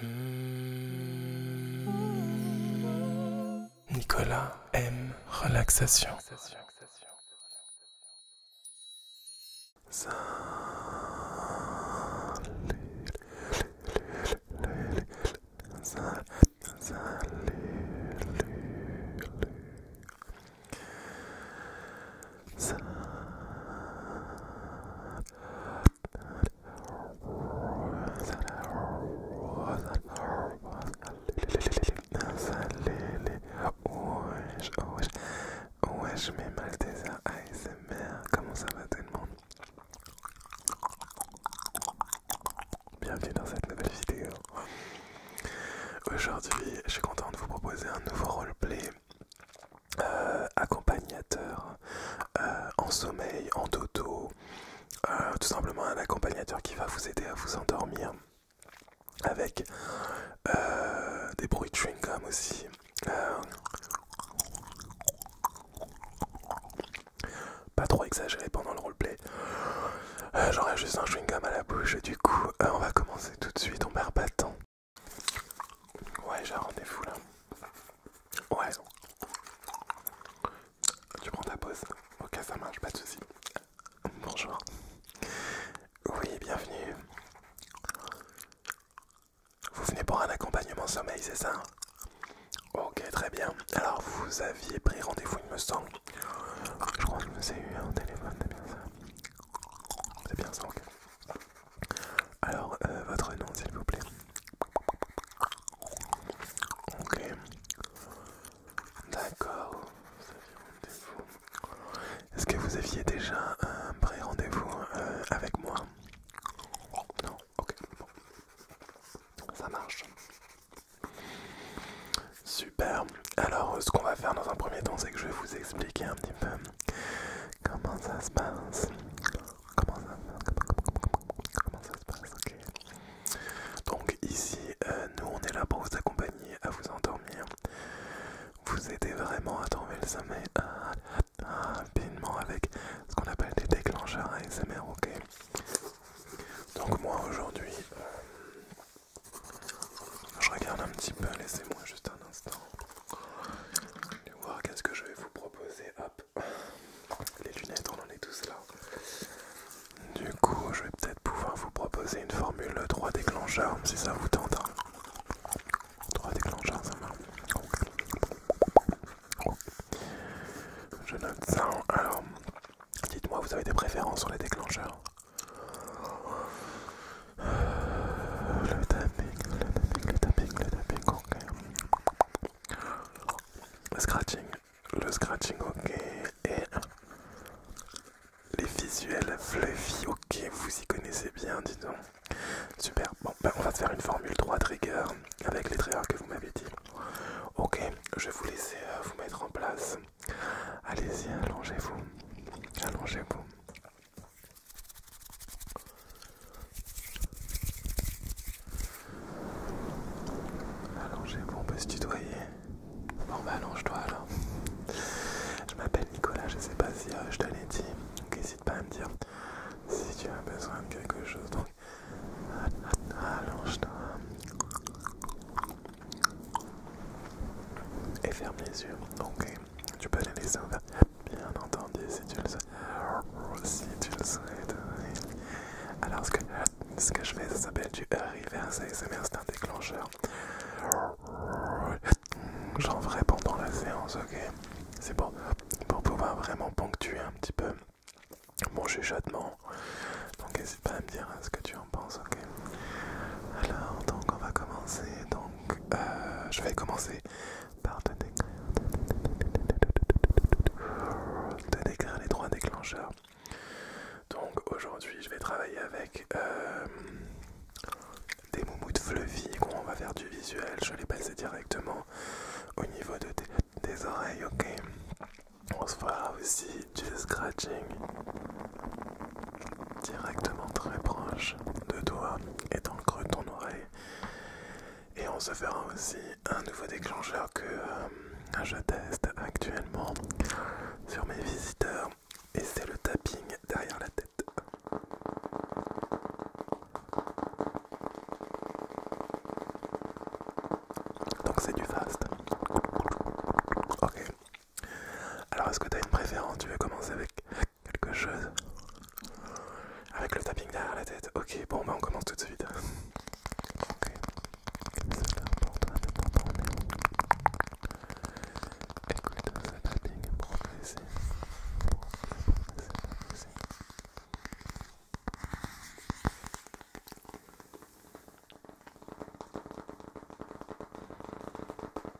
Hmm. Nicolas aime relaxation. Wesh, wesh, wesh, des airs ASMR, comment ça va tout le monde Bienvenue dans cette nouvelle vidéo. Aujourd'hui, je suis content de vous proposer un nouveau roleplay euh, accompagnateur euh, en sommeil, en dodo, euh, tout simplement un accompagnateur qui va vous aider à vous endormir avec des bruits de chewing-gum aussi. pas trop exagéré pendant le roleplay. J'aurais juste un chewing-gum à la bouche, du coup, on va commencer tout de suite, on perd pas de Ouais, j'ai un rendez-vous là. Ouais. Tu prends ta pause. Ok, ça marche, pas de soucis. Bonjour. Oui, bienvenue. Vous venez pour un accompagnement sommeil, c'est ça Ok, très bien. Alors, vous aviez pris rendez-vous, il me semble. Je crois que je me suis eu un téléphone, c'est bien ça. C'est bien ça, ok. Alors, euh, votre nom, s'il vous plaît. Ok. D'accord. Est-ce que vous aviez déjà un pré-rendez-vous euh, avec moi Non Ok. Ça marche. Super. Alors, ce qu'on va faire dans un premier temps, c'est que je vais vous expliquer un petit peu Comment ça se passe Comment ça, comment ça se passe Donc ici, euh, nous on est là pour vous accompagner à vous endormir, vous aider vraiment à tomber le sommeil rapidement avec ce qu'on appelle des déclencheurs ASMR, ok Donc moi aujourd'hui, euh, je regarde un petit peu, laissez-moi juste un instant voir qu'est-ce que je vais vous proposer. Hop, les lunettes, on en est tous là. Du coup, je vais peut-être pouvoir vous proposer une formule 3 déclencheurs, si ça vous tente. Hein. Trois déclencheurs, ça marche. Je note ça. Alors, dites-moi, vous avez des préférences sur les déclencheurs le tapping, le tapping, le tapping, le tapping, ok. Le scratching, le scratching, ok. Et les visuels fluffy, ok, vous y connaissez bien, dis donc. Super, bon, ben on va faire une formule 3 trigger avec les triggers que vous m'avez dit. Ok, je vais vous laisser euh, vous mettre en place. Allez-y, allongez-vous, allongez-vous. Allongez-vous, on peut se tutoyer. Bon, bah, allonge-toi alors. Je m'appelle Nicolas, je sais pas si euh, je te l'ai dit, donc n'hésite pas à me dire si tu as besoin de quelque chose. allonge-toi. Et ferme les yeux. Ok, tu peux les laisser Bien entendu, si tu le souhaites. Si tu le souhaites. Alors, ce que, ce que je fais, ça s'appelle du reverse ASMR, c'est un déclencheur. J'en ferai pendant la séance, ok C'est pour, pour pouvoir vraiment ponctuer un petit peu mon chuchotement. Donc, n'hésite pas à me dire ce que tu en penses, ok Alors, donc, on va commencer. Donc, euh, je vais commencer par de décrire, les trois déclencheurs. Donc aujourd'hui, je vais travailler avec euh, des des de fluffy. On va faire du visuel. Je les passe directement au niveau de des oreilles. Ok. On se fera aussi du scratching directement très proche de toi et dans le creux de ton oreille. Et on se fera aussi un nouveau déclencheur que euh, je teste actuellement sur mes visiteurs. Et c'est le tapping derrière la tête. Donc c'est du fast. Ok. Alors est-ce que tu as une préférence Tu veux commencer avec quelque chose. Avec le tapping derrière la tête. Ok, bon, bah on commence tout de suite. Ok. C'est là pour toi, mais pas pour nous. Écoute tapping progressif. Progressif,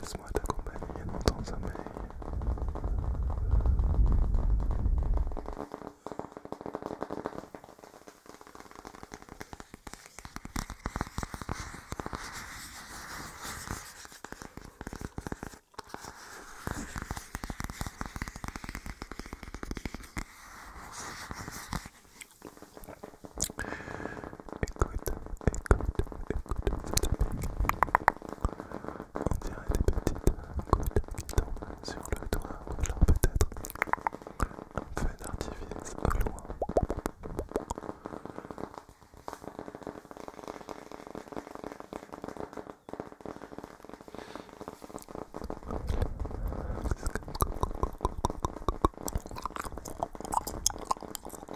Laisse-moi t'accompagner dans ton sommeil. Écoute, écoute, écoute On dirait des petites gouttes qui tombent sur le toit ou alors peut-être un feu d'artifice au loin.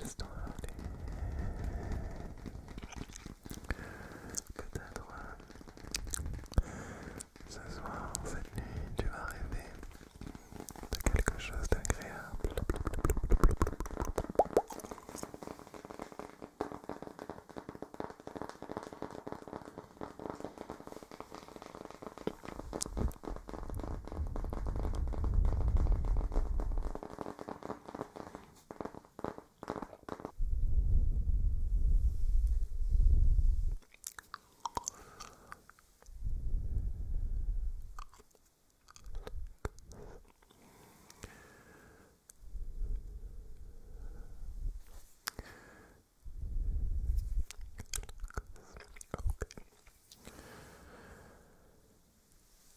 Laisse-toi aller, que tu as le droit de cette nuit, tu vas rêver de quelque chose d'agréable.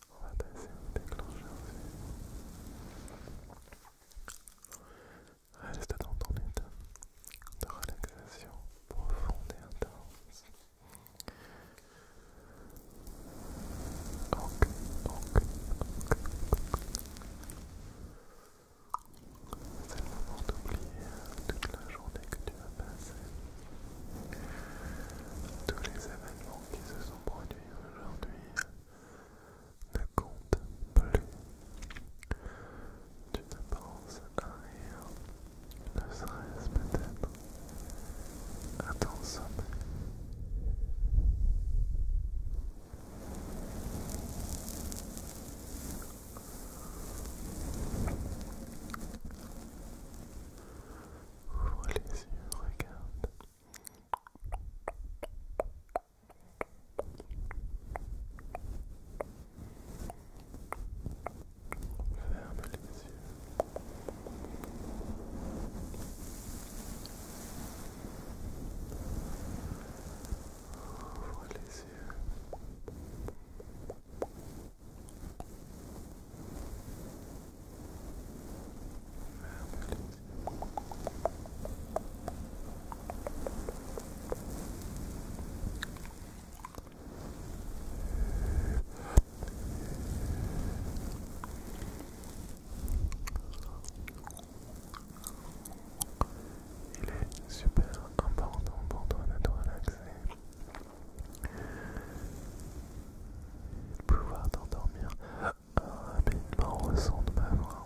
On va déclencher un déclencheur. Reste dans ton état de relaxation profonde et intense. Donc, C'est le moment d'oublier toute la journée que tu as passée. Tous les événements qui se sont produits aujourd'hui ne comptent plus. Tu ne penses à rien ne serait-ce peut-être à ton sommeil. Ouvre les yeux, regarde. Ferme les yeux. Ouvre les yeux. Ferme les yeux. Il est super important pour toi de te relaxer, de pouvoir t'endormir rapidement au son de ma voix.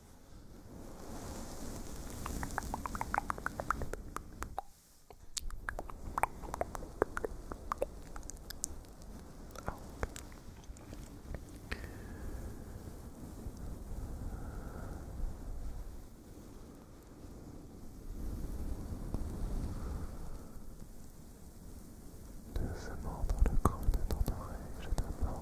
Doucement dans le creux de ton oreille, je demande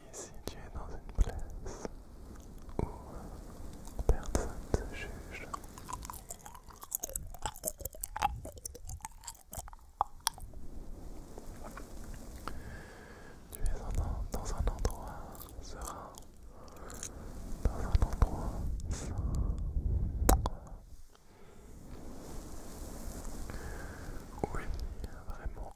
Ici, tu es dans une place où personne ne juge, tu es dans un endroit serein, dans un endroit sain. Oui, vraiment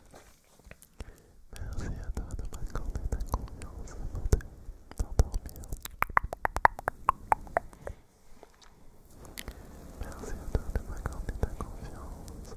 Merci à toi de m'accorder ta confiance avant d'endormir. à toi de m'accorder Merci à toi de m'accorder ta confiance.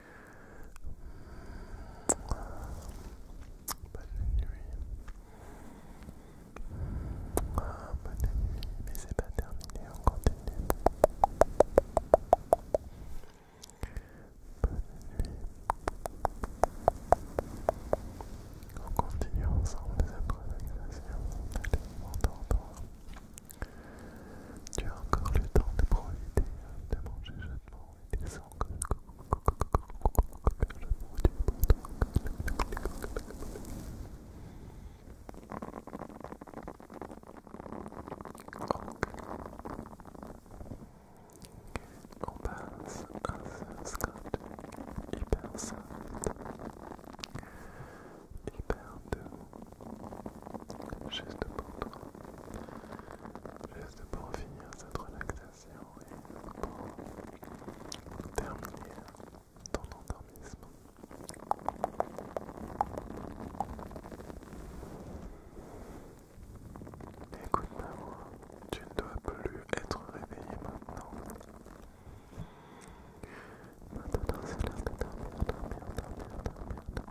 Bonne nuit. bonne nuit, mais c'est pas terminé, on continue. Bonne nuit. On continue ensemble les improvisations. Allez, Tu as encore le temps de profiter, de manger chaudement, On passe à ce Scott hyper simple, hyper doux, juste pour toi, Juste pour finir cette relaxation et pour terminer ton endormissement. Écoute moi tu ne dois plus être réveillé maintenant. Maintenant c'est l'heure de dormir, dormir, dormir.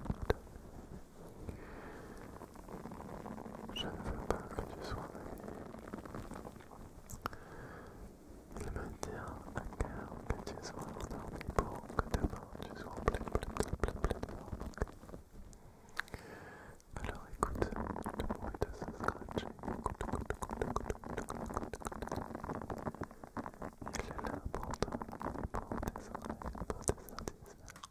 Je ne veux pas que tu sois Il me que tu sois pour que tu sois Alors écoute le de ce Il est là pour pour pour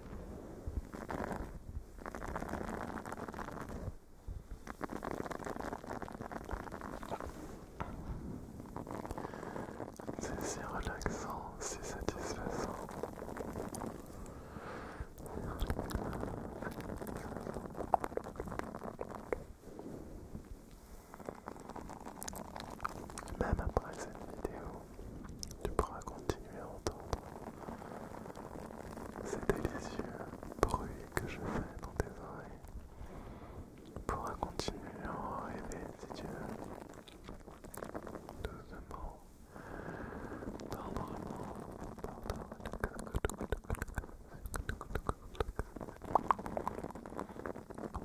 C'est si relaxant, si satisfaisant. Même après cette vidéo, tu pourras continuer à entendre ces délicieux bruits que je fais dans tes oreilles. Tu pourras continuer à en rêver si tu veux. Doucement, tendrement, Ok.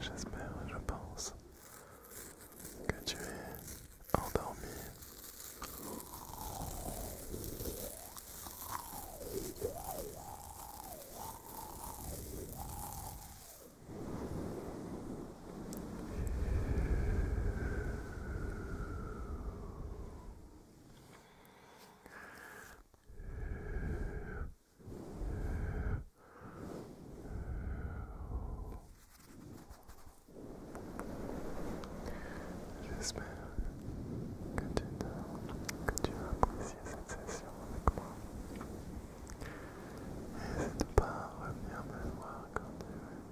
j'espère, je pense que tu es endormi. J'espère que tu, que tu as apprécié cette session avec moi. Et pas revenir me voir quand tu veux.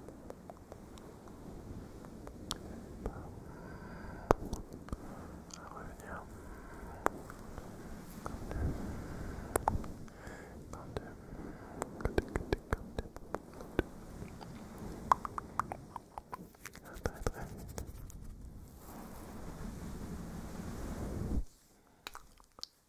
revenir